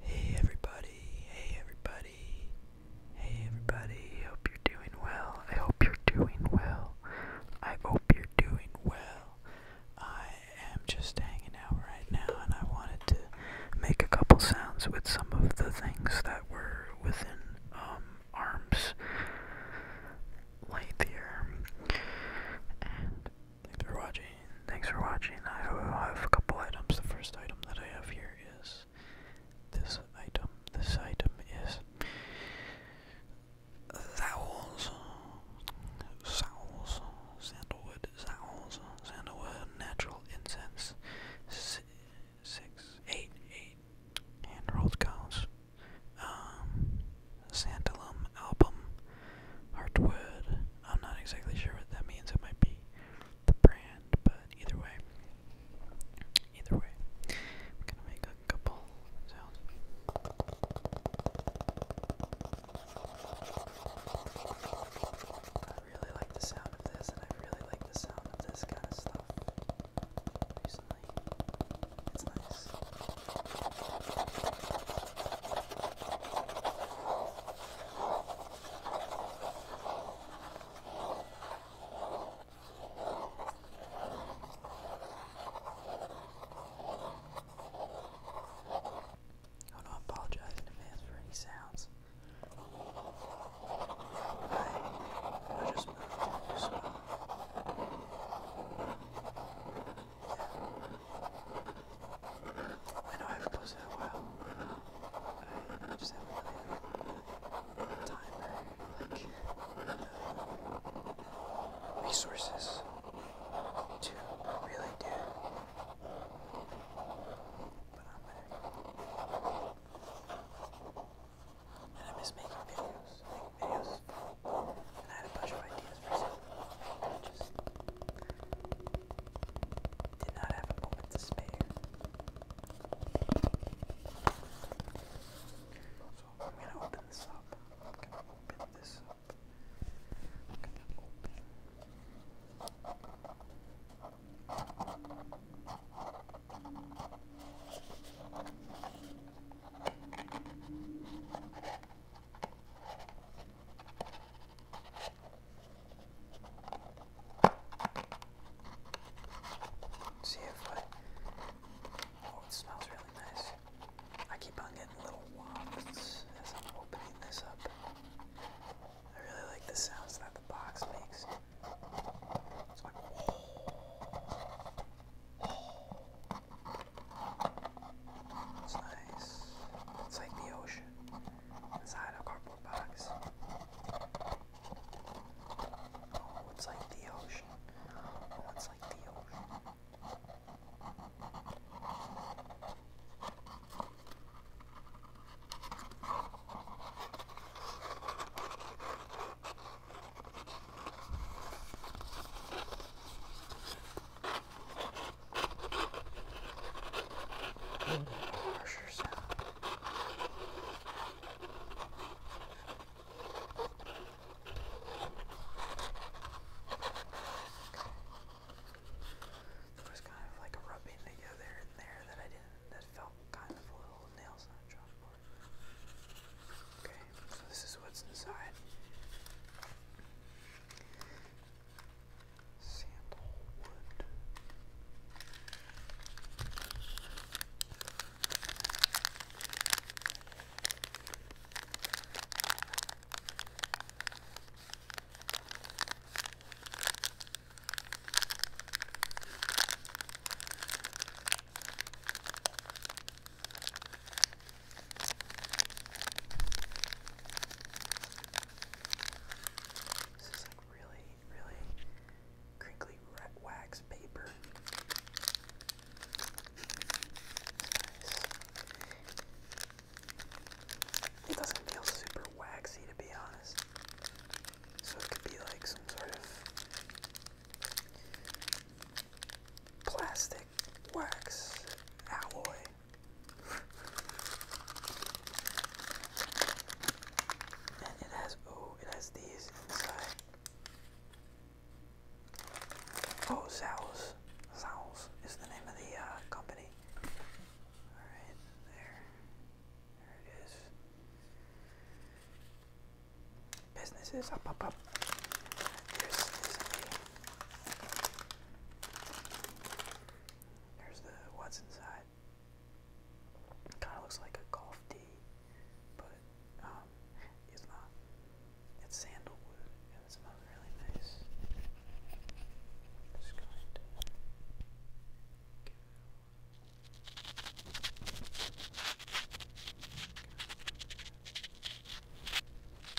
Hey everybody, hey everybody, hey everybody, hope you're doing well. I hope you're doing well. I hope you're doing well. I am just hanging out right now and I wanted to make a couple sounds with some of the things that were within um, arms length here. And Thanks for watching. Thanks for watching. I have a couple items. The first item that I have here is this item. This item is Zowls. Zowls. Sandalwood. Zowls. Sandalwood. Natural incense. Si Hand rolled cones. Um. Santalum album. Heartwood. I'm not exactly sure what that means. It might be the brand, but either way, either way, we're gonna make a couple sounds. I really like the sound of this, and I really like the sound of this kind of stuff recently. It's nice. Oh no, I apologize in advance for any sounds. I, I just moved. So. Yeah. I know I haven't posted in a while. I just haven't really had time or uh, resources to really do But I'm there. And I miss making videos. Making videos And I had a bunch of ideas for just did not have a moment to spare. So I'm gonna open this up. I'm gonna open this up. I'm gonna open. See if I. Oh, it smells really nice. I keep on getting little wafts as I'm opening this up. I really like the sounds that the box makes. It's nice. It's like the ocean inside a cardboard box. Oh, it's like the ocean. Oh, it's like the ocean. And harsher Okay. There kind of like a rubbing together in there that I didn't, that felt kind of a little nails on chalkboard. Okay, so this is what's inside. Sandalwood. This is like really, really crinkly wax paper. It doesn't feel super waxy to be honest. So it could be like some sort of plastic wax alloy and it has oh, it has these inside. Oh, Zowls. Zowls is the name of the uh, company. Alright, there. There it is. Businesses, up, up, up. There's the what's inside. Kind of looks like a golf tee, but um, it's not. It's sandalwood, and it smells really nice. just going to give it a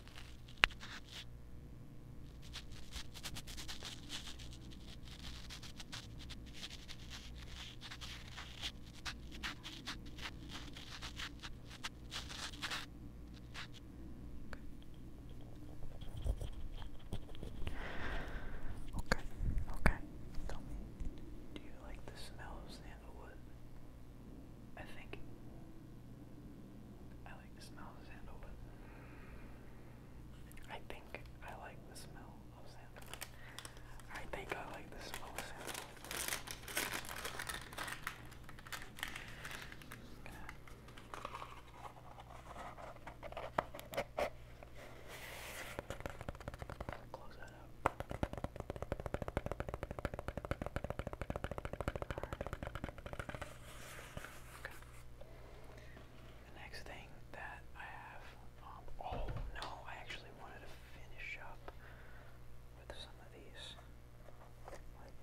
Okay, okay. Tell me, do you like the smell of sandalwood? I think I think I like the smell of sandalwood. I think I like the smell of sandalwood. Close that up. Okay. The next thing that I have, um, oh no, I actually wanted to finish up with some of these. Like,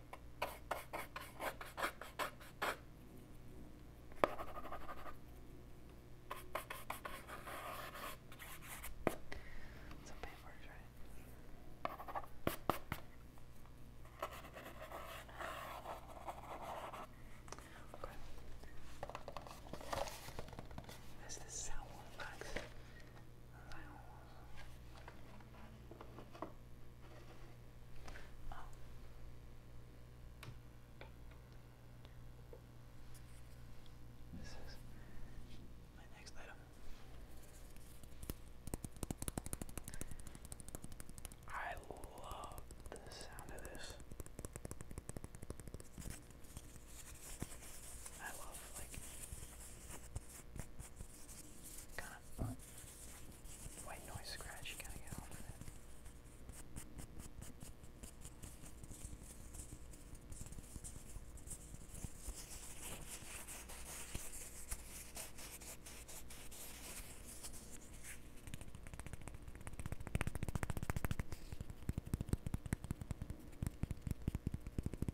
Some paintwork, right? Okay. This is sound one box. Sound. Oh. This is my next item. I love the sound of this. I love like kind White noise scratch, you gotta get off of it.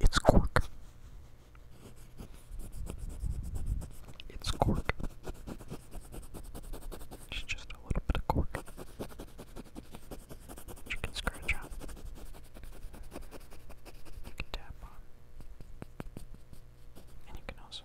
It's cork. It's cork. It's just a little bit of cork. You can scratch on. You can tap on. And you can also.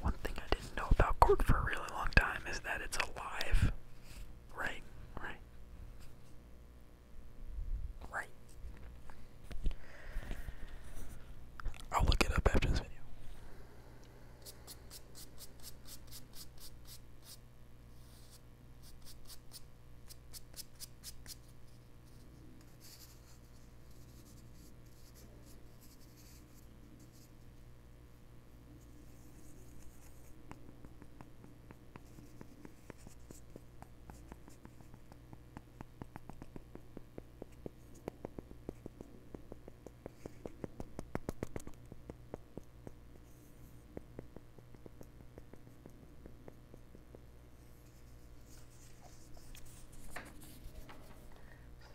One thing I didn't know about cork for a really long time is that it's alive. Right, right. Right. I'll look it up after this video. This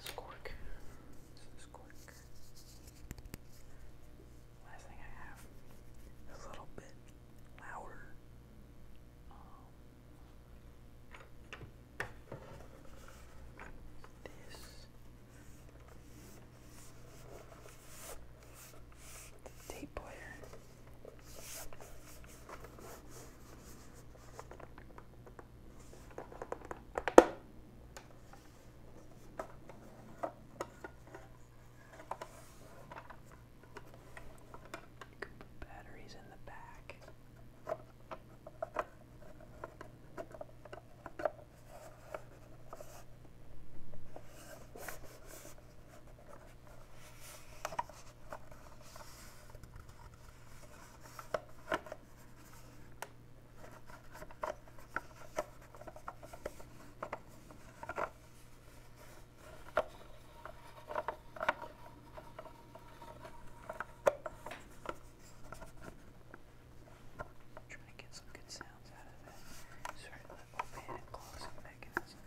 is cork. This is cork last thing I have a little bit louder. Um, this tape player. You can put batteries in the back. Trying to get some good sounds out of it. Certainly open and closing mechanism,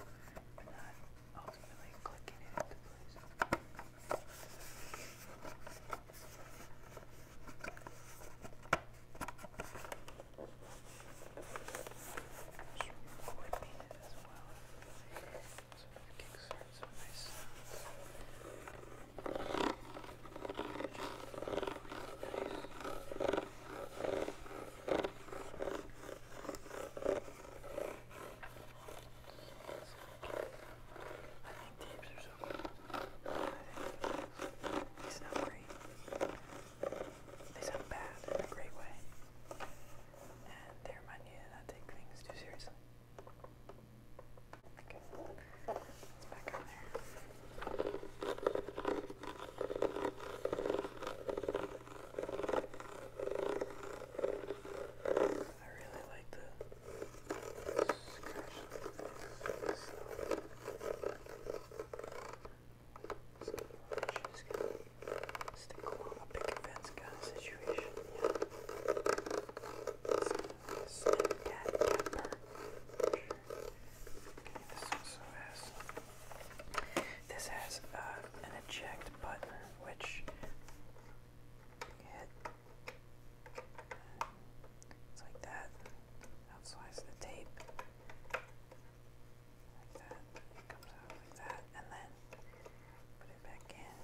but not ultimately clicking it into place clipping it as well. So it kickstarts some nice sounds. I think tapes are so cool. I think it's not great. They sound bad in a great way. And they remind you to take things too seriously. Okay. It's back on there. I really like the scratch. It's so so she's stick along a big fence kind situation. Yeah. this has uh, an eject button which it's like that. Outslides the tape. Like that. comes out like that. And then put it back in.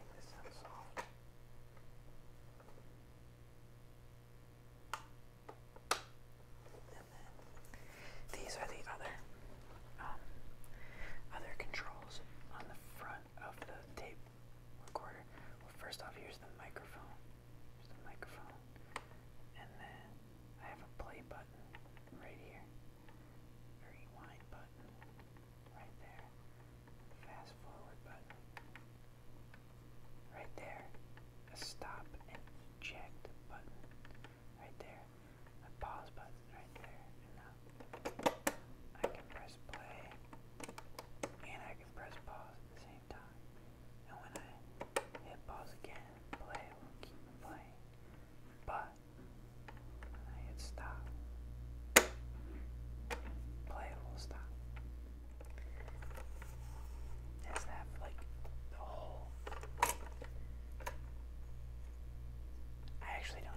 Make this sound soft. And then these are the other um, other controls on the front of the tape recorder. Well, first off, here's the microphone. There's the microphone. And then I have a play button right here. A rewind button right there. Fast forward button right there. A stop and eject button right there. A pause button right there. And now I can press play and I can press pause at the same time and when I hit pause again play, will keep playing. But when I hit stop, play will stop. Is that like the whole? I actually don't know.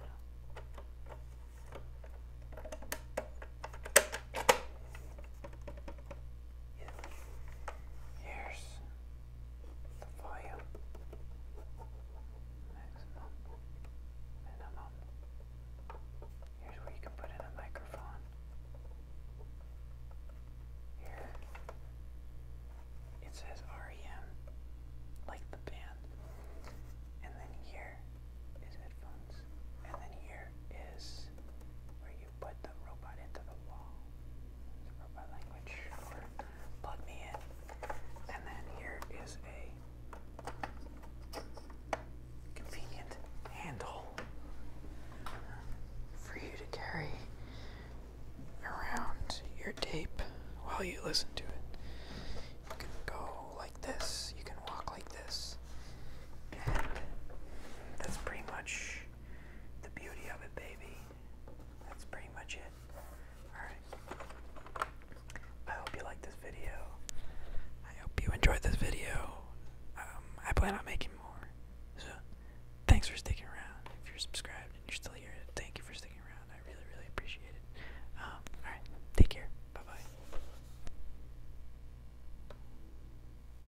Here's the volume, maximum, minimum. Here's where you can put in a microphone. Here it says REM, like the band. And then here is headphones. And then here is where you put the robot into the wall. robot language. plug me in. And then here is a convenient handle for you to carry around your tape while you listen to it. You can go like this, you can walk like this, and that's pretty much the beauty of it, baby. That's pretty much it. Alright. I hope you like this video. I hope you enjoyed this video. Um, I plan on making more. So, thanks for sticking around. If you're subscribed and you're still here, thank you for sticking around. I really, really appreciate it. Um, alright, take care. Bye bye.